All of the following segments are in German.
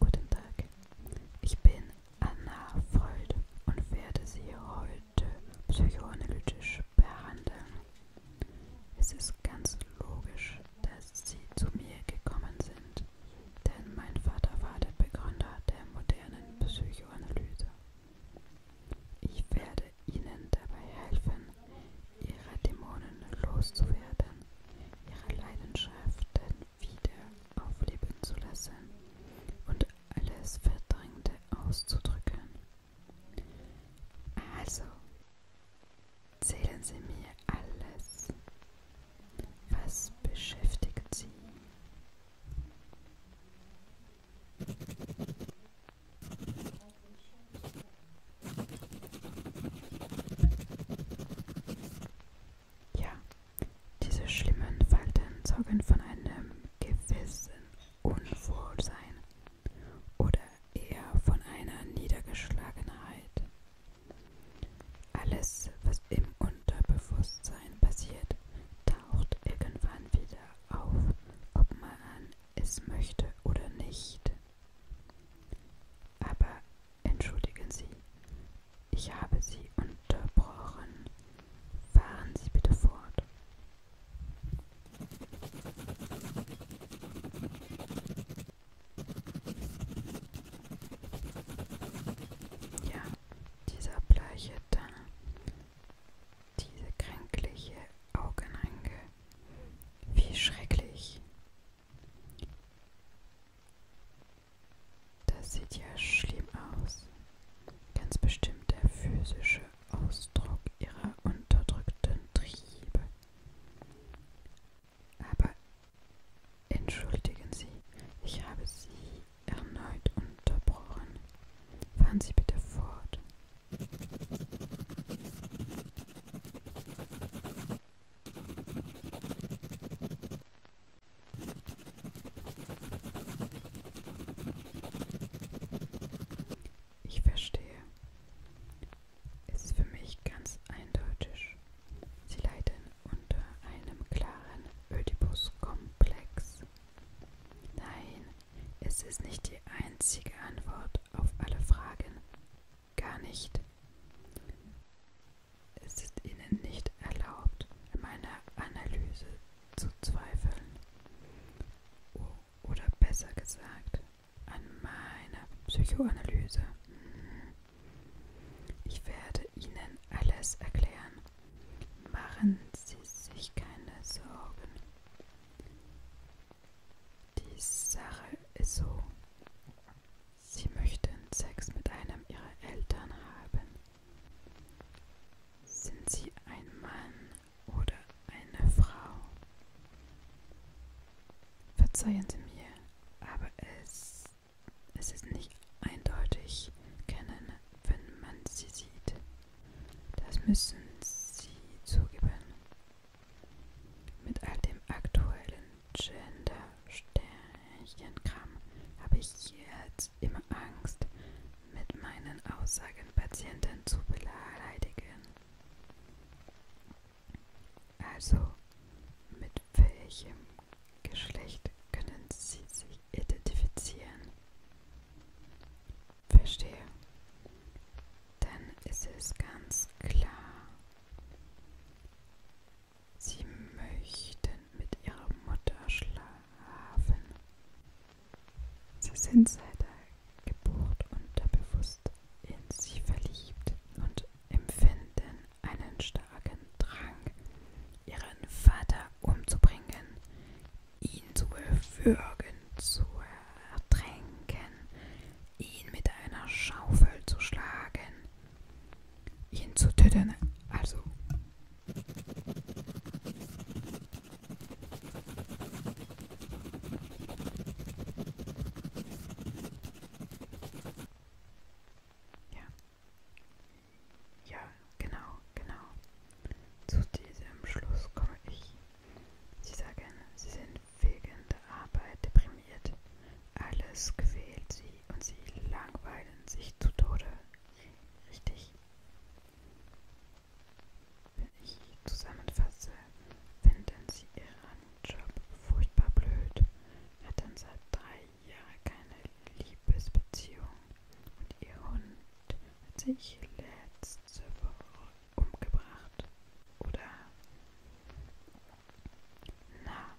Guten Tag, ich bin Anna Freud und werde Sie heute psychoanalytisch behandeln. Es ist ganz logisch, dass Sie zu mir gekommen sind, denn mein Vater war der Begründer der modernen Psychoanalyse. Ich werde ihnen dabei helfen, ihre Dämonen loszuwerden, ihre Leidenschaften wieder aufleben zu lassen und alles Verdrängte auszudrücken. Also, zählen Sie mir alles, was beschäftigt Sie. Ja, diese schlimmen Falten sorgen von einem gewissen Unwohlsein oder eher von einer Niedergeschlagenheit. Alles, was im Unterbewusstsein passiert, taucht irgendwann wieder auf, ob man es möchte oder nicht. Aber entschuldigen Sie, ich habe Sie unterbrochen. Fahren Sie bitte fort. Ja, dieser bleiche Tanner. Diese kränkliche Augenringe. Wie schrecklich. Das sieht ja schlimm aus. Ganz bestimmt der physische Ausdruck ihrer unterdrückten Triebe. Aber entschuldigen Sie, ich habe Sie erneut unterbrochen. Fahren Sie bitte fort. Ich verstehe. Es ist für mich ganz eindeutig. Sie leiden unter einem klaren Oedipus-Komplex. Nein, es ist nicht die einzige Antwort auf alle Fragen. Gar nicht. Es ist Ihnen nicht erlaubt, an meiner Analyse zu zweifeln. Oder besser gesagt, an meiner Psychoanalyse. Ich werde Ihnen alles erklären. Machen Sie sich keine Sorgen. Die Sache ist so. Sie möchten Sex mit einem ihrer Eltern haben. Sind sie ein Mann oder eine Frau? Verzeihen Sie mir, aber es, es ist nicht eindeutig kennen, wenn man sie sieht. Das müssen Sie zugeben. Mit all dem aktuellen Gender-Sternchenkram habe ich jetzt immer Angst, mit meinen Aussagen Patienten zu beleidigen. Also, mit welchem Geschlecht können Sie sich identifizieren? Verstehe. Dann ist es ganz klar. Sie möchten mit ihrer Mutter schlafen. Sie sind seit der Geburt unterbewusst in sie verliebt und empfinden einen starken Drang, ihren Vater umzubringen, ihn zu erwürgen, zu ertränken, ihn mit einer Schaufel zu schlagen, ihn zu töten, also ja. Ja, genau, genau. Zu diesem Schluss komme ich. Sie sagen, sie sind wegen der Arbeit deprimiert. Alles quält sie und sie langweilen sich zu Tode. Richtig. Wenn ich zusammenfasse, finden sie ihren Job furchtbar blöd, hatten seit drei Jahren keine Liebesbeziehung und ihr Hund hat sich letzte Woche umgebracht, oder? Na,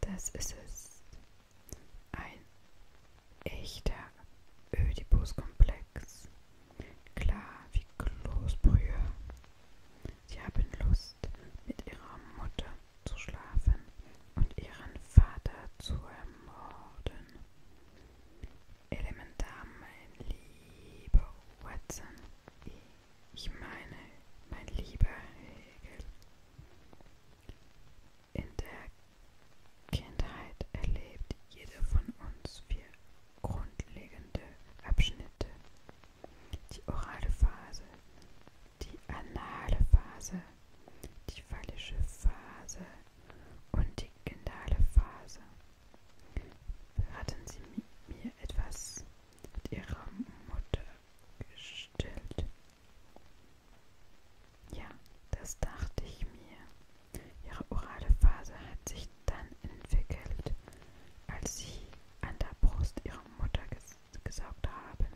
das ist es. Ein echter Ödipus-Komplex. Klar wie Kloßbrühe. Sie haben Lust, mit ihrer Mutter zu schlafen und ihren Vater zu ermorden. Elementar, mein lieber Watson. Ich meine, mein lieber Hegel. In der Kindheit erlebt jeder von uns vier grundlegende Abschnitte. Die orale Phase, die anale Phase, die phallische Phase und die gendale Phase. Hatten sie mir etwas mit ihrer Mutter gestillt? Ja, das dachte ich mir. Ihre orale Phase hat sich dann entwickelt, als sie an der Brust ihrer Mutter ges gesaugt haben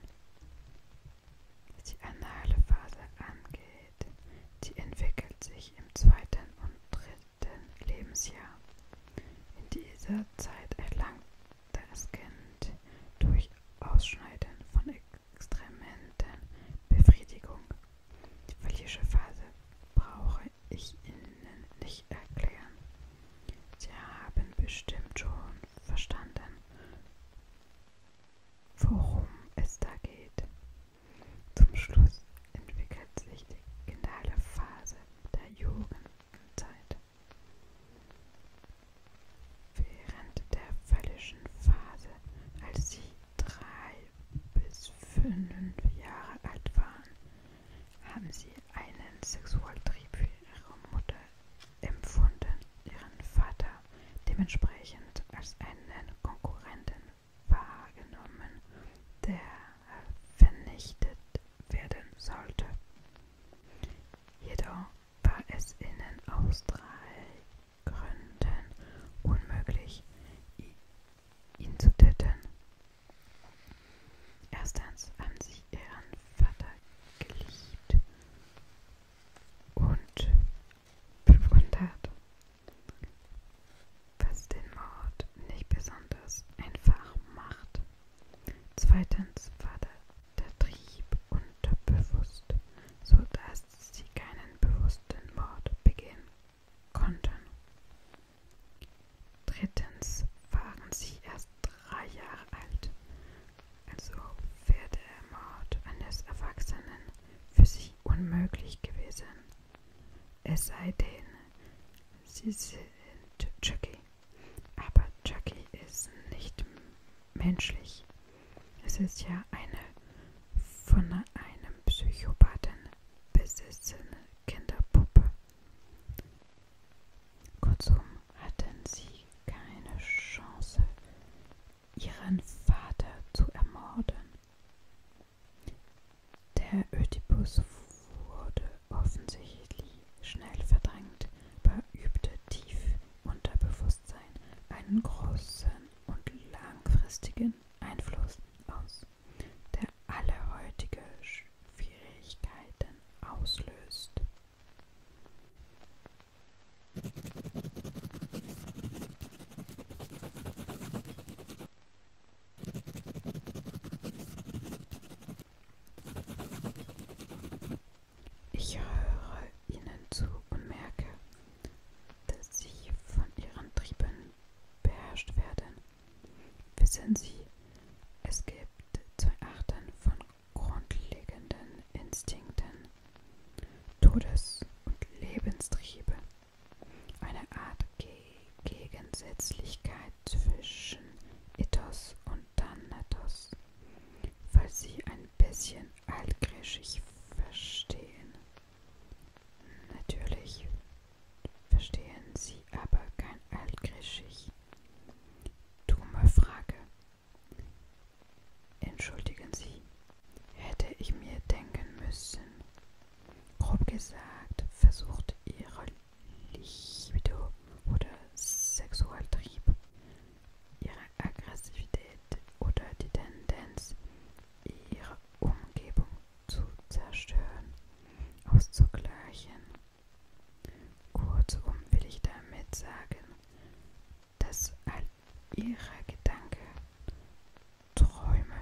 die anale Phase angeht. Die entwickelt sich im zweiten und dritten Lebensjahr. In dieser Zeit erlangt das Kind durch Ausschneiden von Extrementen Befriedigung. Die phallische Phase brauche ich Ihnen nicht erklären. Sie haben bestimmt schon verstanden, worum es da geht. Zum Schluss entwickelt sich die finale Phase der Jugendzeit. Während der völligen Phase, als sie drei bis fünf Jahre alt waren, haben sie einen Sexualtrieb für ihre Mutter empfunden ihren Vater dementsprechend als einen Konkurrenten wahrgenommen, der vernichtet werden sollte. Jedoch war es ihnen aus drei Gründen unmöglich, ihn zu töten. Erstens haben sie ihren Vater geliebt und 500. Was den Mord nicht besonders einfach macht. Zweitens war der, der Trieb unterbewusst, sodass sie keinen bewussten Mord begehen konnten. Drittens waren sie erst drei Jahre alt, so wäre der Mord eines Erwachsenen für sie unmöglich gewesen. Es sei denn, sie sind Chucky. Aber Chucky ist nicht menschlich. Es ist ja eine von einem Psychopathen besessene Kinderpuppe. Kurzum hatten sie keine Chance ihren Vater zu ermorden. Der Ödipus wurde offensichtlich schnell verdrängt, beübte tief unter Bewusstsein einen großen und langfristigen Einfluss aus, der alle heutige Schwierigkeiten auslöst. Ich höre ihnen zu und merke, dass sie von ihren Trieben beherrscht werden. Wissen Sie, es gibt zwei Arten von grundlegenden Instinkten, Todes- und Lebenstriebe, eine Art Ge Gegensätzlichkeit zwischen Ethos und Thanatos, weil sie ein bisschen altgriechisch verstehen. Natürlich verstehen sie aber kein altgriechisch. Dumme Frage, Entschuldigen Sie, hätte ich mir denken müssen. Grob gesagt, versucht Ihre Libido oder Sexualtrieb, Ihre Aggressivität oder die Tendenz, Ihre Umgebung zu zerstören, auszugleichen. Kurzum will ich damit sagen, dass all ihre Gedanken, Träume,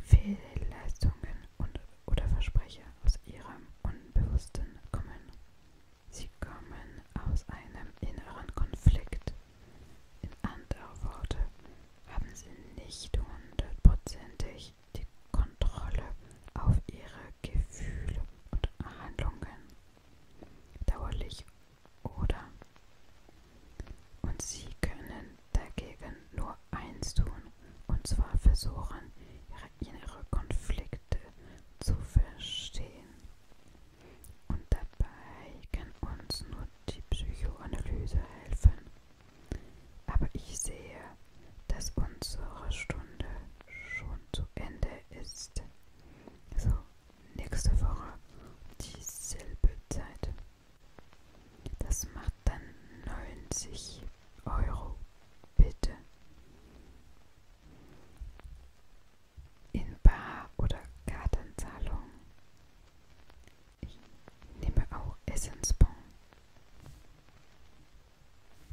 Fehlleistungen und, oder Versprechen aus ihrem Unbewussten kommen. Sie kommen aus einem inneren Konflikt. In anderen Worten haben sie nicht hundertprozentig die Kontrolle auf ihre Gefühle und Handlungen dauerlich oder und sie können dagegen nur eins tun, und zwar versuchen, ihre innere Konflikte zu verstehen. Und dabei kann uns nur die Psychoanalyse helfen. Aber ich sehe dass unsere Stunde schon zu Ende ist. So, nächste Woche dieselbe Zeit. Das macht dann 90 Euro. Bitte. In Bar- oder Kartenzahlung. Ich nehme auch Essensbon.